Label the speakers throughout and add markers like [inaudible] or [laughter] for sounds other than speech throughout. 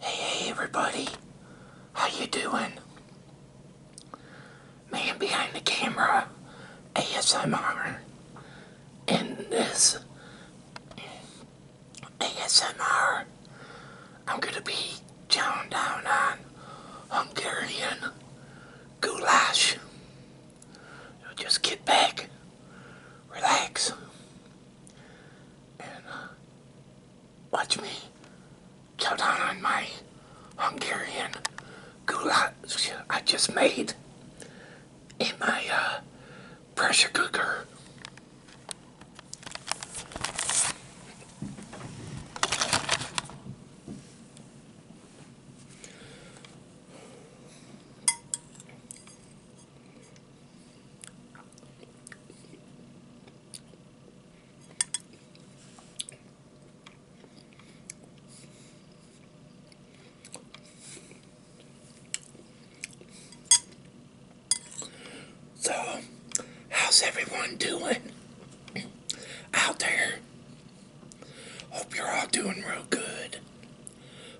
Speaker 1: Hey, everybody. How you doing? Man behind the camera, ASMR, and this ASMR, I'm gonna be chowing down on Hungarian goulash. So just get back, relax, and uh, watch me chow down on my Hungarian goulash I just made in my uh, pressure cooker. So, how's everyone doing out there? Hope you're all doing real good.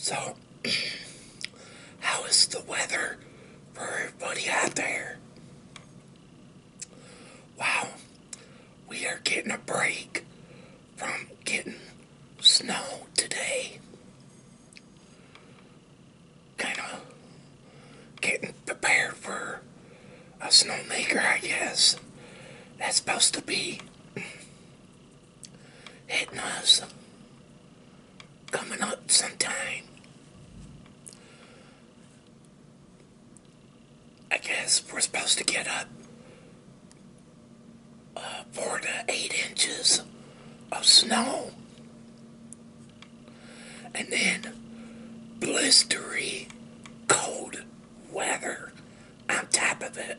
Speaker 1: So, [clears throat] how is the weather for everybody out there? Wow, we are getting a break from getting snow today kind of getting prepared for a snowmaker, I guess. That's supposed to be hitting us coming up sometime. I guess we're supposed to get up uh, four to eight inches of snow and then blistery cold weather on top of it.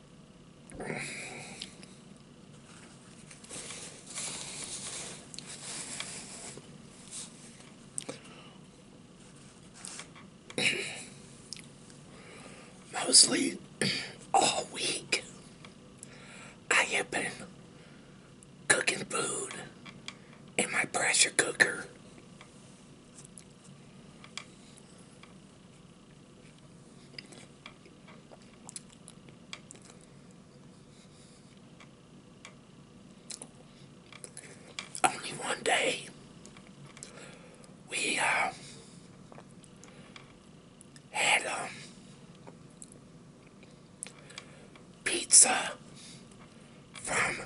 Speaker 1: Mostly all week, I have been cooking food in my pressure cooker. Only one day we uh, had um, pizza from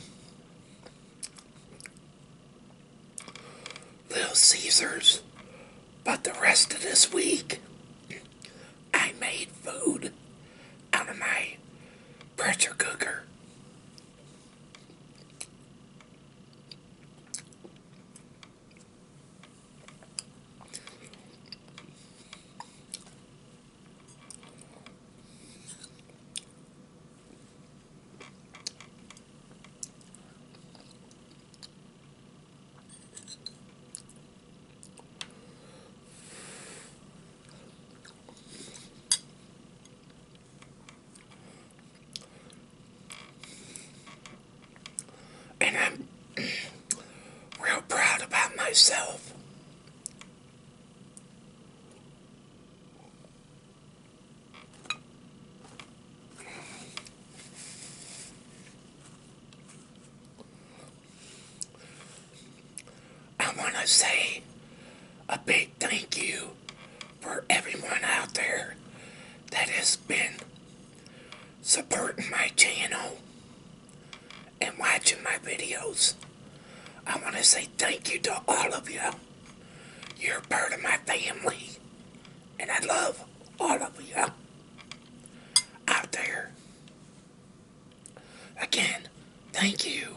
Speaker 1: Little Caesars. But the rest of this week, I made food out of my pressure cooker. And I'm [clears throat] real proud about myself. I want to say a big thank you for everyone out there that has been supporting my channel and watching my videos. I want to say thank you to all of you. You're part of my family. And I love all of you out there. Again, thank you.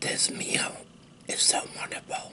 Speaker 1: This meal is so wonderful.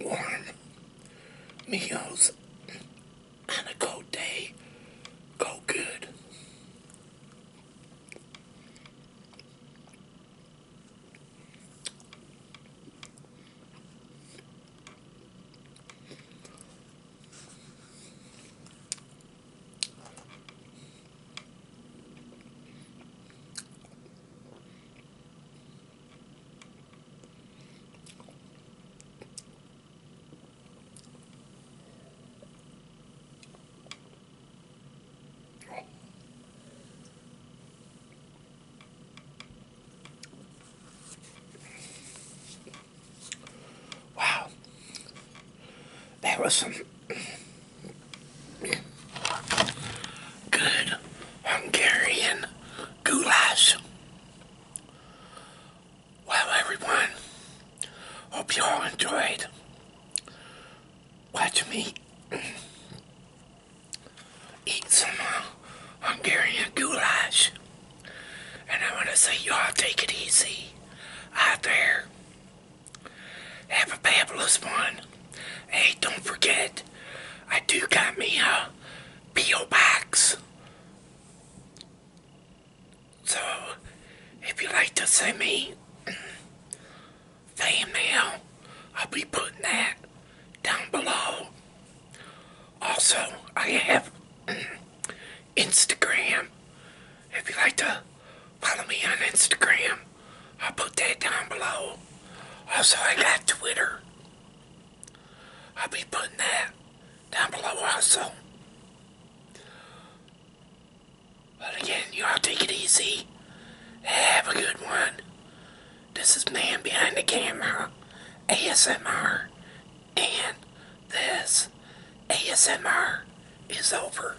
Speaker 1: warm [coughs] meals on a cold day go good. Wow. That was some good Hungarian goulash. Well, everyone, hope you all enjoyed. Watch me eat some uh, Hungarian goulash. And I want to say, y'all take it easy out there. Have a fabulous one. Hey, don't forget, I do got me a P.O. box. So, if you like to send me fan I'll be putting that down below. Also, I have Instagram. If you like to follow me on Instagram, I'll put that down below. Also, I got Twitter. I'll be putting that down below also. But again, y'all take it easy. Have a good one. This is Man Behind the Camera, ASMR, and this ASMR is over.